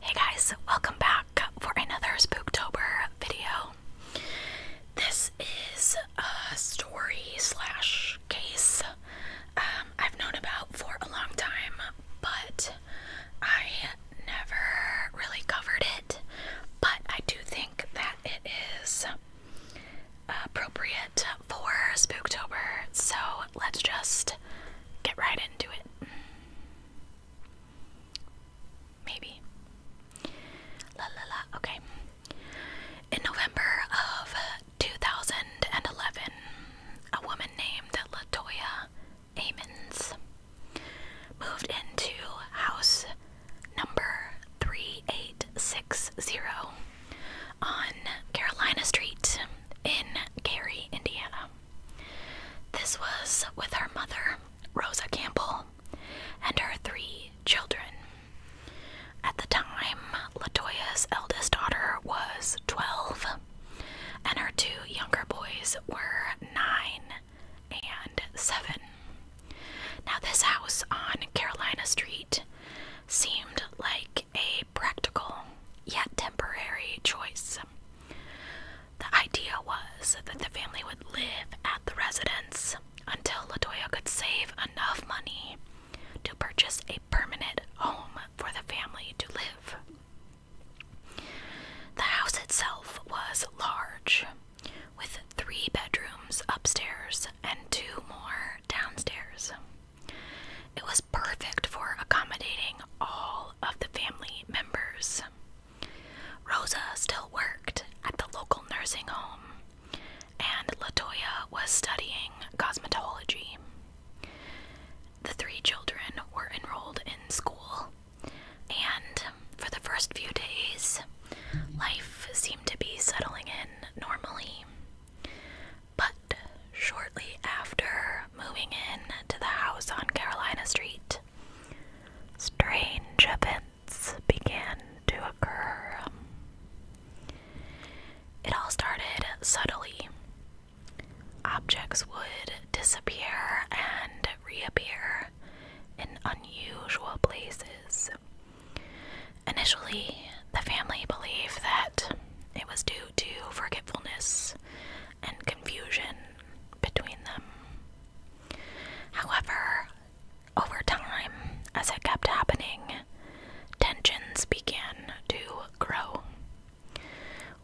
Hey guys, welcome back for another Spooktober video. This is a story slash case um, I've known about for a long time, but I never really covered it. But I do think that it is appropriate for Spooktober, so let's just get right into it. Maybe. Okay. In November of 2011, a woman named Latoya Amons moved into house number 3860 on Carolina Street in Gary, Indiana. This was with her mother, Rosa Campbell, and her three children. At the time, Latoya's eldest daughter was 12, and her two younger boys were 9 and 7. Now, this house on Carolina Street seemed like a practical yet temporary choice. The idea was that the family would live at the residence until Latoya could save enough money to purchase a permanent home for the family to live. The house itself was large, with three bedrooms upstairs and two more downstairs. It was perfect for accommodating all of the family members. Rosa still worked at the local nursing home, and Latoya was studying cosmetology. The three children were enrolled in school, and for the first few days, life seemed to be settling in normally. But shortly after moving in to the house on Carolina Street, strange events began to occur. Um, it all started subtly. Objects would disappear and reappear in unusual places. Initially, the family believed that it was due to forgetfulness and confusion between them. However, over time, as it kept happening, tensions began to grow.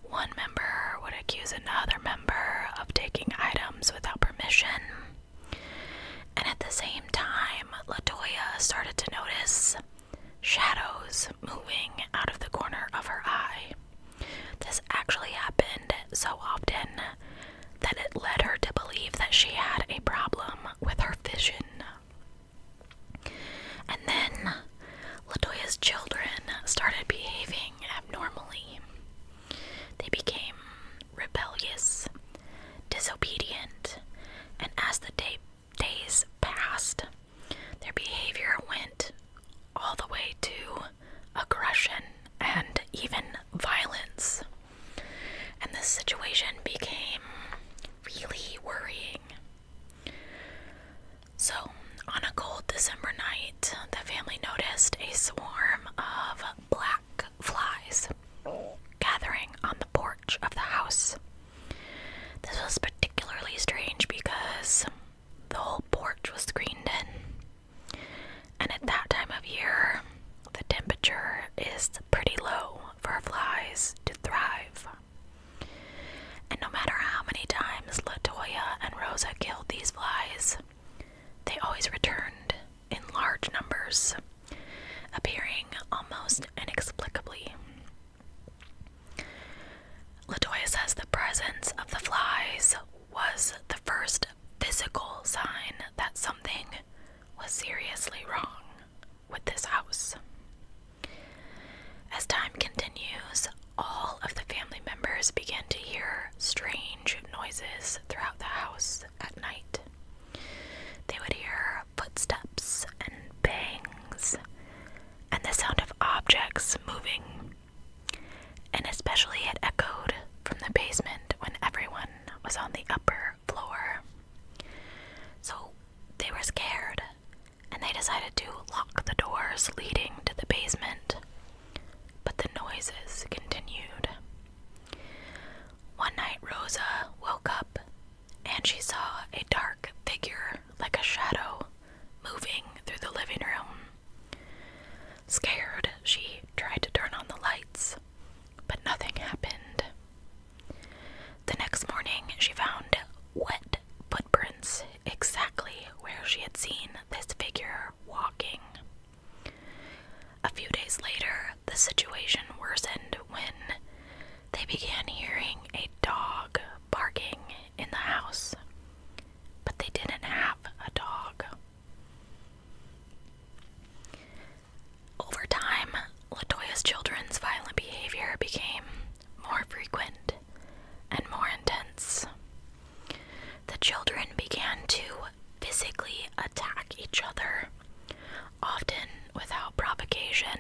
One member would accuse another member of taking items without permission. And at the same time, Latoya started to notice shadows moving out of the corner of her eye. This actually happened so often that it led her to believe that she had a problem with her vision. And then Latoya's children started behaving abnormally. They became rebellious, disobedient, and as the day, days passed, their behavior went all the way to aggression and even violence and this situation became really worrying. So, on a cold December night, the family noticed a swarm of black flies gathering on the porch of the house. This was particularly strange because the whole porch was screened in. And at that time of year, the temperature is pretty low for flies to thrive. And no matter how many times Latoya and Rosa killed these flies, they always returned in large numbers, appearing almost inexplicably. Latoya says the presence of the flies was the first physical sign that something was seriously wrong with this house. As time continues, all of the family members begin to hear strange noises throughout the house at night. They would hear footsteps and bangs and the sound of objects moving, and especially it echoed from the basement when everyone was on the upper floor. So they were scared and they decided to lock the doors leading to the basement. But the noises continued. One night, Rosa woke up and she saw a dark figure, like a shadow, moving through the living room. Scared, she tried to turn on the lights, but nothing happened. The next morning, she found wet footprints exactly where she had seen this figure walking. A few days later, the situation worsened when they began hearing a dog barking in the house, but they didn't have a dog. Over time, Latoya's children's violent behavior became more frequent and more intense. The children began to physically attack each other, often without provocation,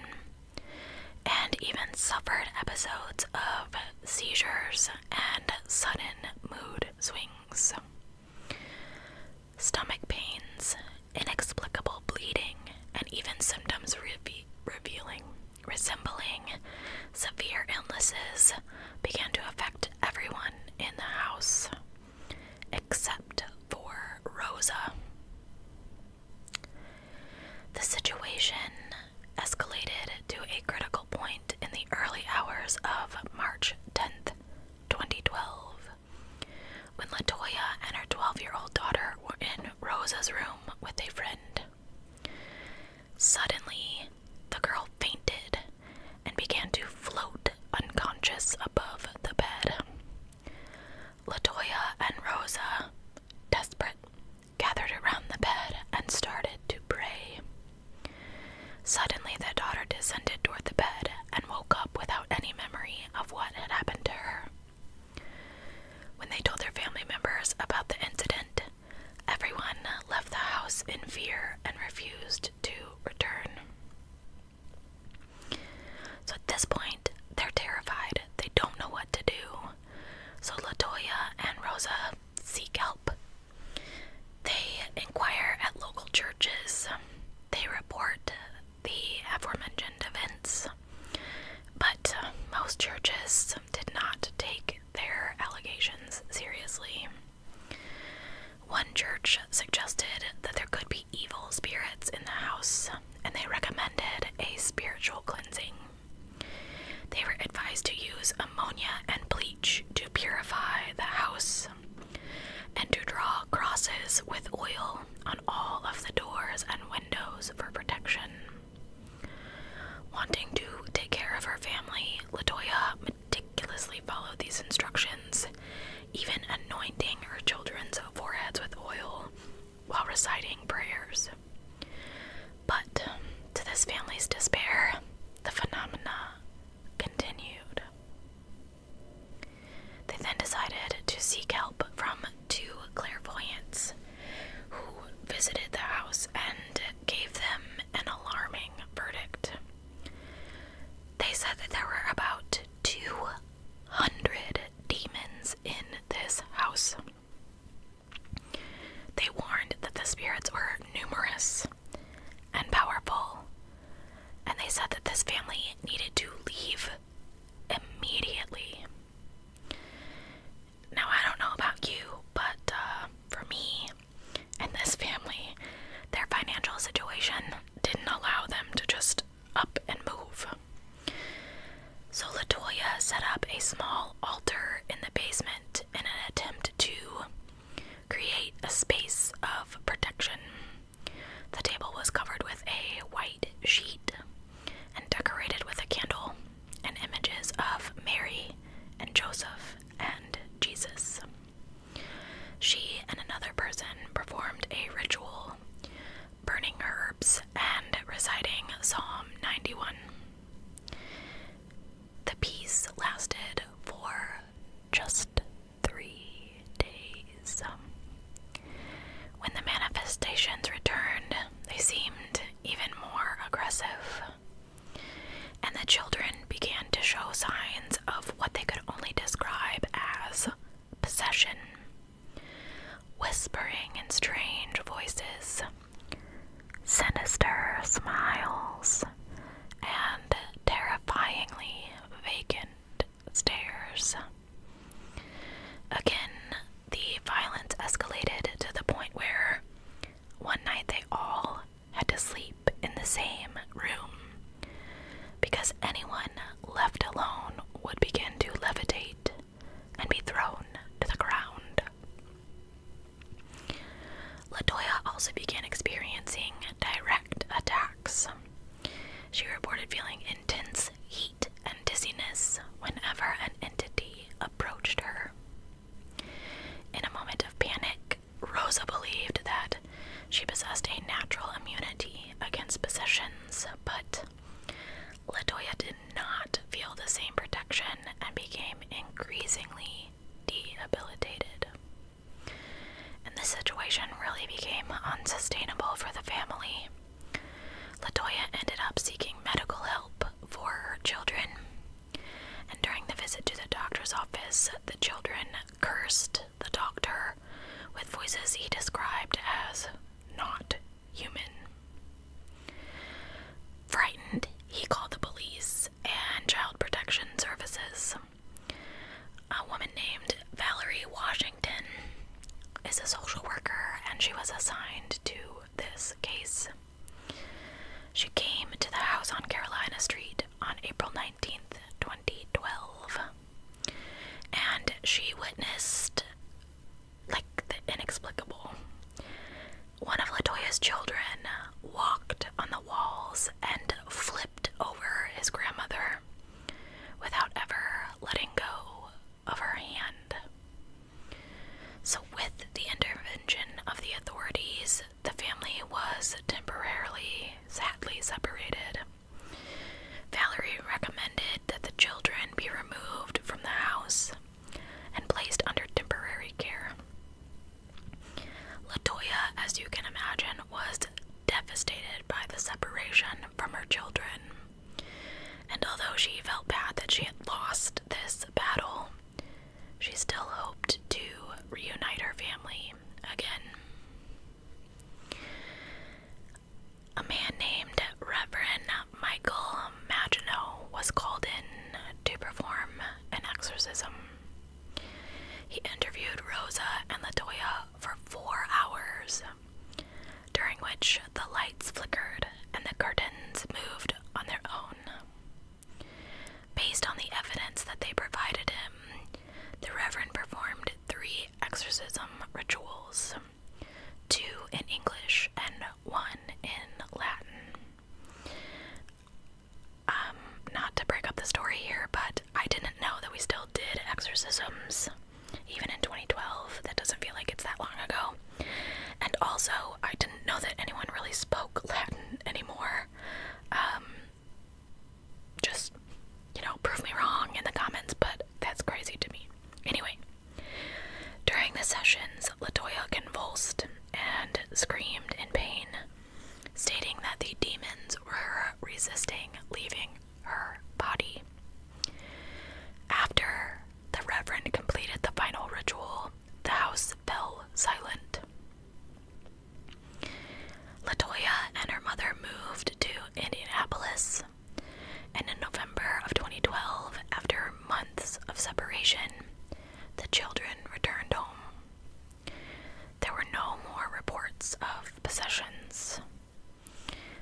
and even suffered episodes of seizures and sudden mood swings stomach pains, inexplicable bleeding, and even symptoms revealing resembling severe illnesses began to affect everyone in the house except for Rosa. The situation escalated to a critical point in the early hours of March 10th, 2012. When Latoya and her 12 year old daughter were in Rosa's room with a friend, suddenly the girl fainted and began to float unconscious above the bed. Latoya and Rosa, desperate, gathered around the bed and started to pray. Suddenly, the daughter descended toward the bed and woke up without any memory of what had happened to her. When they told their family members about the incident, everyone left the house in fear and refused to return. So at this point, they're terrified. They don't know what to do. So Latoya and Rosa seek help. They inquire at local churches. They report the aforementioned events. But uh, most churches did not take their allegations seriously. One church suggested that there could be evil spirits in the house, and they recommended a spiritual cleansing. They were advised to use ammonia and bleach to purify the house and to draw crosses with oil on all of the doors and windows for protection. Wanting to take care of her family, Latoya meticulously followed these instructions, even anointing her children's foreheads with oil while reciting prayers. But to this family's despair, the phenomena continued. They then decided to seek help from two clairvoyants who visited the house and gave them an alarming verdict. They said that there were about 200 demons in this house. They warned that the spirits were numerous and powerful and they said that this family needed to leave immediately. Now, I don't know about you, but uh, for me and this family, their financial situation didn't allow them to just up and move. So, Latoya set up a small altar in the basement in an attempt to create a space of protection. The table was covered with a white sheet and decorated with a candle and images of Mary and Joseph and Jesus. She and another person performed a ritual, burning herbs and reciting Psalm 91. The peace lasted for just three days. Um, when the manifestations returned, they seemed even more aggressive, and the children began to show signs of what they could only describe as possession. Whispering in strange voices, sinister smiles, and terrifyingly vacant stairs. Again, the violence escalated to the point where one night they all had to sleep in the same room because anyone left alone would begin to levitate and be thrown to the ground. Latoya also began experiencing direct attacks. She reported feeling intense heat and dizziness whenever an entity approached her. In a moment of panic, Rosa believed that she possessed a natural immunity against possessions, but Latoya did not feel the same protection and became increasingly debilitated. And the situation really became unsustainable for the family. Latoya ended up seeking medical help for her children. And during the visit to the doctor's office, the children cursed the doctor with voices he described as not human. Frightened, he called the police and child protection services. A woman named Valerie Washington is a social worker and she was assigned to this case. She came to the house on Carolina Street on April 19th, 2012, and she witnessed like the inexplicable. One of Latoya's children walked on the walls and flipped over his grandmother without ever letting go of her hand. So, with the intervention of the authorities, the family was temporarily, sadly separated. Valerie recommended that the children be removed from the house and placed under temporary care. Latoya, as you can imagine, was devastated by the separation from her children. And although she felt bad that she had lost this battle, she still hoped to reunite her family again. A man named Reverend Michael Maginot was called in to perform an exorcism. He interviewed Rosa and Latoya for four hours, during which the lights flickered and the curtains moved on their own. Based on the evidence that they provided him, the Reverend performed three exorcism rituals two in English and one in Latin. Um, not to break up the story here, but I didn't know that we still did exorcisms even in 2012. That doesn't feel like it's that long ago. And also, I didn't know that anyone really spoke Latin anymore. Um, just, you know, prove me wrong in the comments, but that's crazy to me. Anyway, during the sessions, Latoya convulsed and screamed in pain stating that the demons were resisting leaving her body. After the Reverend completed the final ritual, the house fell silent. Latoya and her mother moved to Indianapolis, and in November of 2012, after months of separation, the children returned home. There were no more reports of possessions.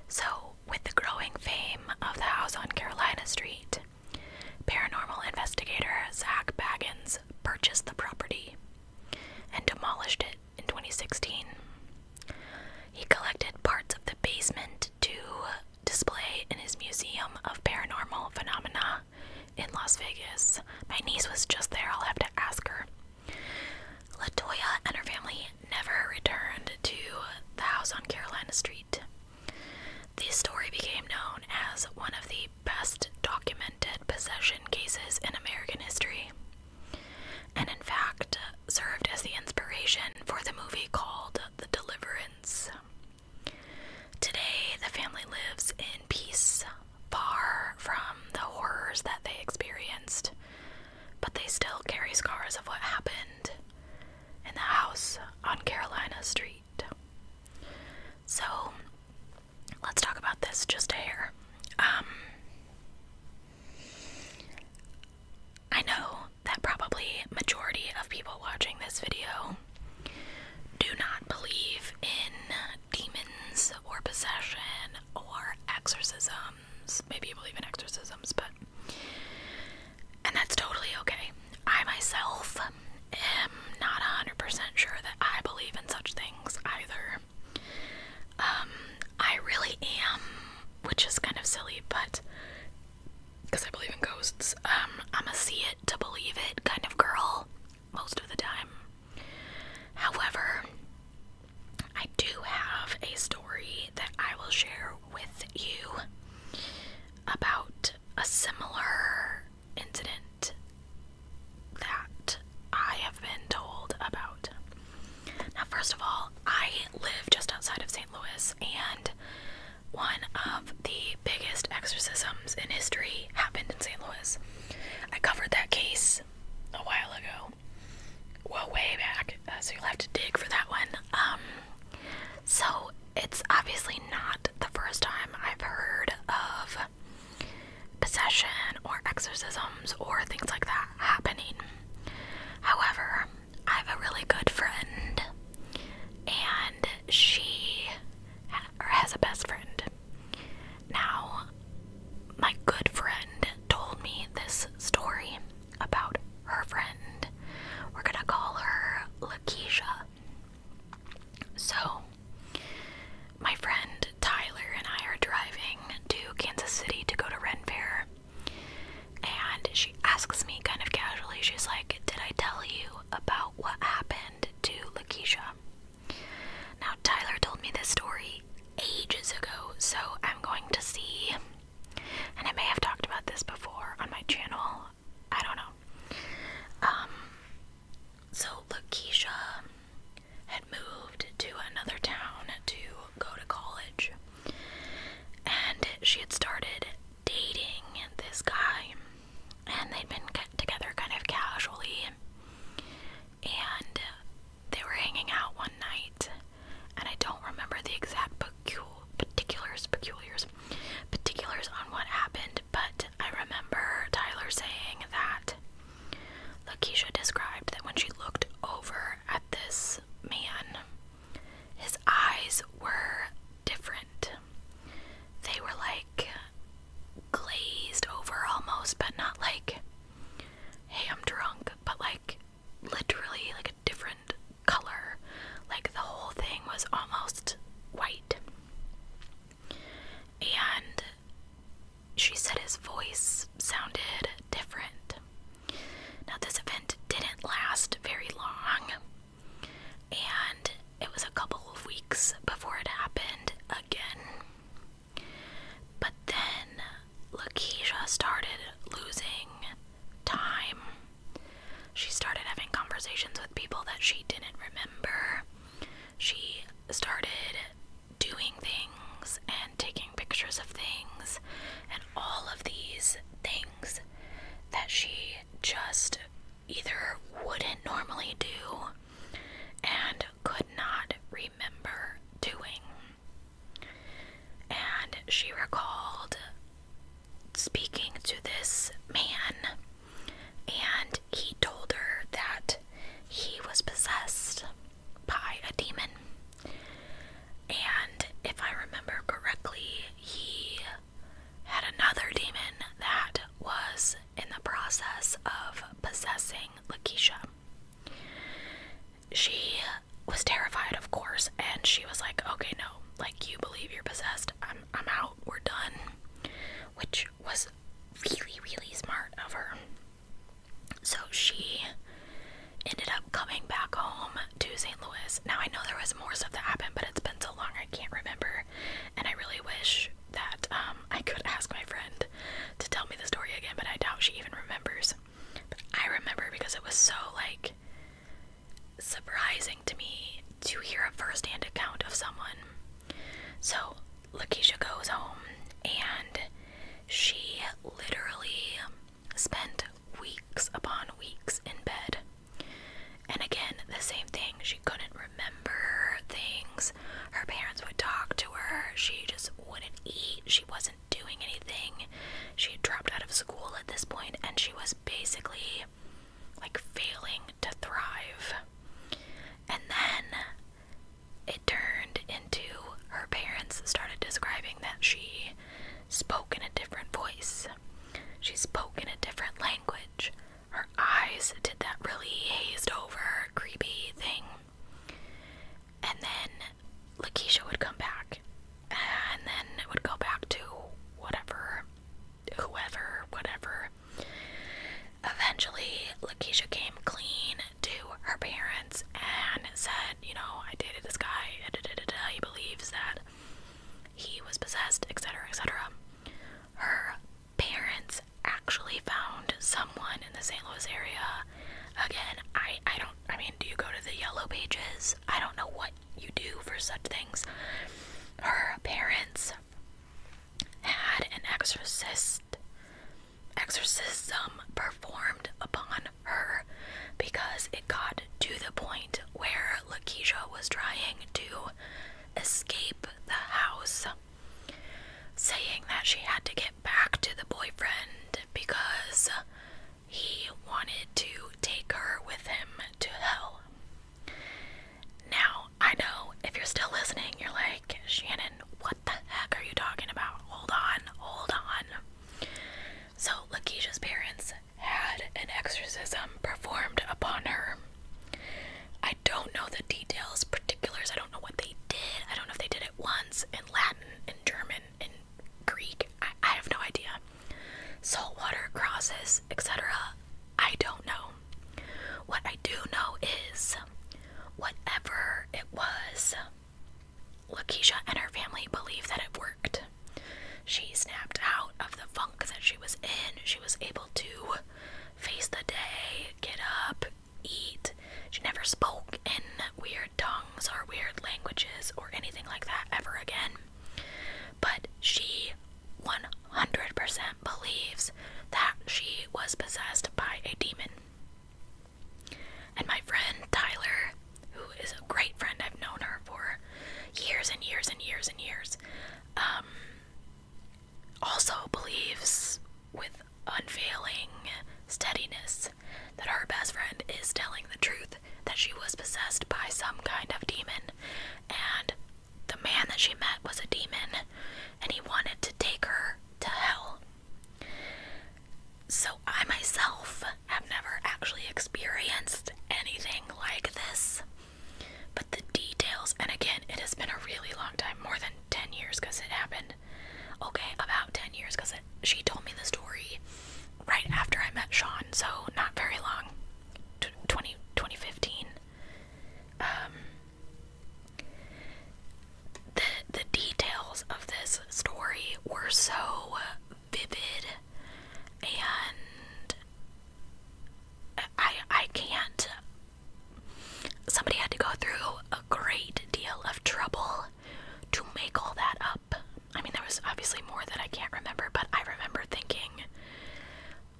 So, with the growing fame of the house on Carolina Street, paranormal investigator Zach Baggins purchased the property and demolished it in 2016. He collected parts of the basement to display in his Museum of Paranormal Phenomena in Las Vegas. My niece was just there. I'll have to ask her. Latoya and her family never returned to the house on Carolina Street. The story became known as one of the best documented possession cases in American history, and in fact, served as the inspiration for the movie called The Deliverance. Today, the family lives in peace far from the horrors that they experienced, but they still carry scars of what happened in the house on Carolina Street. So let's talk about this just a hair. Um, I know that probably majority of people watching this video do not believe in demons or possession or exorcisms. Maybe you believe in exorcisms, but. And that's totally okay. I myself am not 100% sure that I believe in such things either. Um, I really am, which is kind of silly, but because I believe in ghosts, um, I'm a see it to believe it kind of girl most of the time. However, I do have a story that I will share with you about a similar incident that I have been told about. Now, first of all, I live just outside of St. Louis, and one of the biggest exorcisms in history happened in St. Louis. I covered that case a while ago. Well, way back. Uh, so you'll have to dig for that one. Um, so it's obviously not the first time I've heard of possession or exorcisms or things like that happening. However, I have a really good friend, and she or has a best friend, now, my good friend told me this story about her friend. We're gonna call her Lakeisha. So, my friend Tyler and I are driving to Kansas City to go to Ren Fair. And she asks me kind of casually, she's like, Did I tell you about what happened to Lakeisha? Now, Tyler told me this story ages ago, so I'm going to see, and I may have talked about this before on my channel. I don't know. Um, so, Lakeisha had moved to another town to go to college, and she had started dating this guy and they'd been together kind of casually. And they were hanging out one night, and I don't remember the exact particulars, particulars on what happened, but I remember Tyler saying that Lakeisha described that when she looked over at this man, his eyes were different. They were like glazed over almost, but not like, hey, I'm drunk, but like literally like a different color. Like the whole thing was almost white. And she said his voice sounded different. Now, this event didn't last very long, and it was a couple of weeks before it happened again. But then Lakeisha started losing time. She started having conversations with people that she didn't remember. She started doing things and taking pictures of things, and all of these things that she just either wouldn't normally do and could not remember doing. And she recalled speaking to this man, and he told her that he was possessed by a demon. And if I remember correctly, he had another demon that was in the process of possessing Lakeisha. She was terrified, of course, and she was like, okay, no, like you believe you're possessed. I'm I'm out. We're done. Which was really, really smart of her. So she ended up coming back home to St. Louis. Now I know there was more stuff that happened, but it's been so long I can't remember. And I really wish that um, I could ask my friend to tell me the story again, but I doubt she even remembers. But I remember because it was so like surprising to me to hear a first-hand account of someone. So Lakeisha goes home and she literally spent weeks upon weeks in bed. And again, the same thing. She couldn't remember things. Her parents would talk to her. She just wouldn't eat. She wasn't doing anything. She had dropped out of school at this point and she was basically like failing to thrive. And then it turned into her parents started describing that she spoke in a different voice. She spoke in a different language her eyes did that really hazed over, creepy thing. And then Lakeisha would come back, and then it would go back to whatever, whoever, whatever. Eventually, Lakeisha came clean to her parents and said, You know, I dated this guy, da, he believes that he was possessed, etc., etc her parents actually found someone in the St. Louis area. Again, I I don't I mean, do you go to the yellow pages? I don't know what you do for such things. Her parents had an exorcist exorcism performed upon her because it got to the point where Lakeisha was trying to escape the house saying that she had to get back to the boyfriend because he wanted to take her with him to hell. Now, I know if you're still listening, you're like, Shannon, what the heck are you talking about? Hold on, hold on. So, Lakeisha's parents had an exorcism performed upon her. I don't know the details, particulars. I don't know what they did. I don't know if they did it once in Latin, in German, in Greek. I, have no idea. Saltwater crosses, etc. I don't know. What I do know is whatever it was, Lakeisha and her family believe that it worked. She snapped out of the funk that she was in. She was able to face the day, get up, eat. She never spoke in weird tongues or weird languages or anything like that ever again. But she 100% believes that she was possessed by a demon. And my friend Tyler, who is a great friend, I've known her for years and years and years and years, um, also believes with unfailing steadiness that her best friend is telling the truth that she was possessed by some kind of demon and the man that she met was a demon and he wanted to take her to hell. So, I myself have never actually experienced anything like this. But the details, and again, it has been a really long time, more than 10 years because it happened. Okay, about 10 years because she told me the story right after I met Sean, so not very long. 20, 2015. Um, the, the details of this story were so vivid and I I can't Somebody had to go through a great deal of trouble to make all that up. I mean, there was obviously more that I can't remember, but I remember thinking,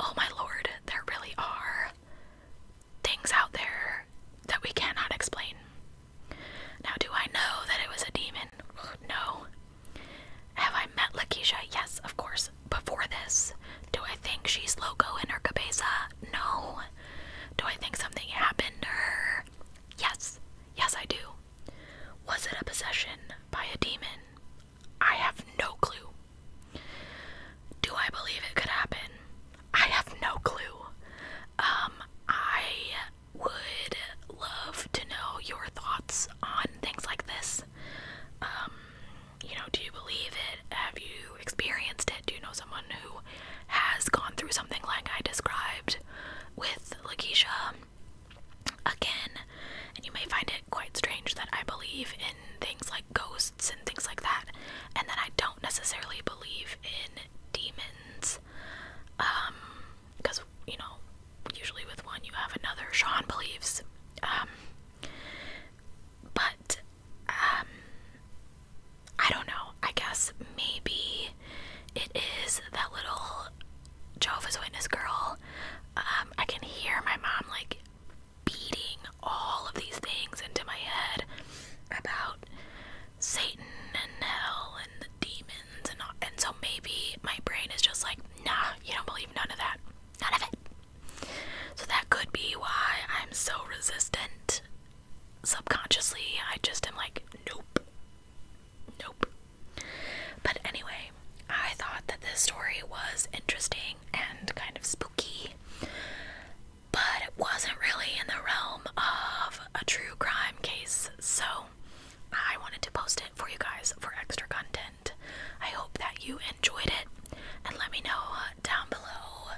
oh my lord, there really are things out there that we cannot explain. Now, do I know that it was a demon? No. Have I met Lakeisha? Yes, of course before this. Do I think she's loco in her cabeza? No. Do I think something happened to her? Yes. Yes, I do. Was it a possession by a demon? I have no clue. Do I believe it could happen? I have no clue. Um, I would love to know your thoughts on things like this. Um, you know, do you believe it? Have you experienced it? Do you know someone who has gone through something like I described with Lakeisha? Um, again, and you may find it quite strange that I believe in things like ghosts and things like that, and then I don't necessarily believe in demons. because um, you know, usually with one you have another. Sean believes, um, but um, I don't know. I guess maybe it is that little Jehovah's Witness girl. Um, I can hear my mom like beating all of these things into my head about Satan and hell and the demons and so maybe my brain is just like, nah, you don't believe none of that. None of it. So that could be why I'm so resistant. Subconsciously, I just am like, nope. Nope. But anyway, I thought that this story was interesting and kind of spooky, but it wasn't really in the realm of a true crime case, so I wanted to post it for you guys for extra content. I hope that you enjoyed it and let me know uh, down below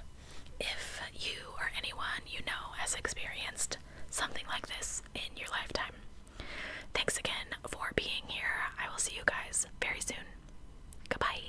if you or anyone you know has experienced something like this in your lifetime. Thanks again for being here. I will see you guys very soon. Goodbye.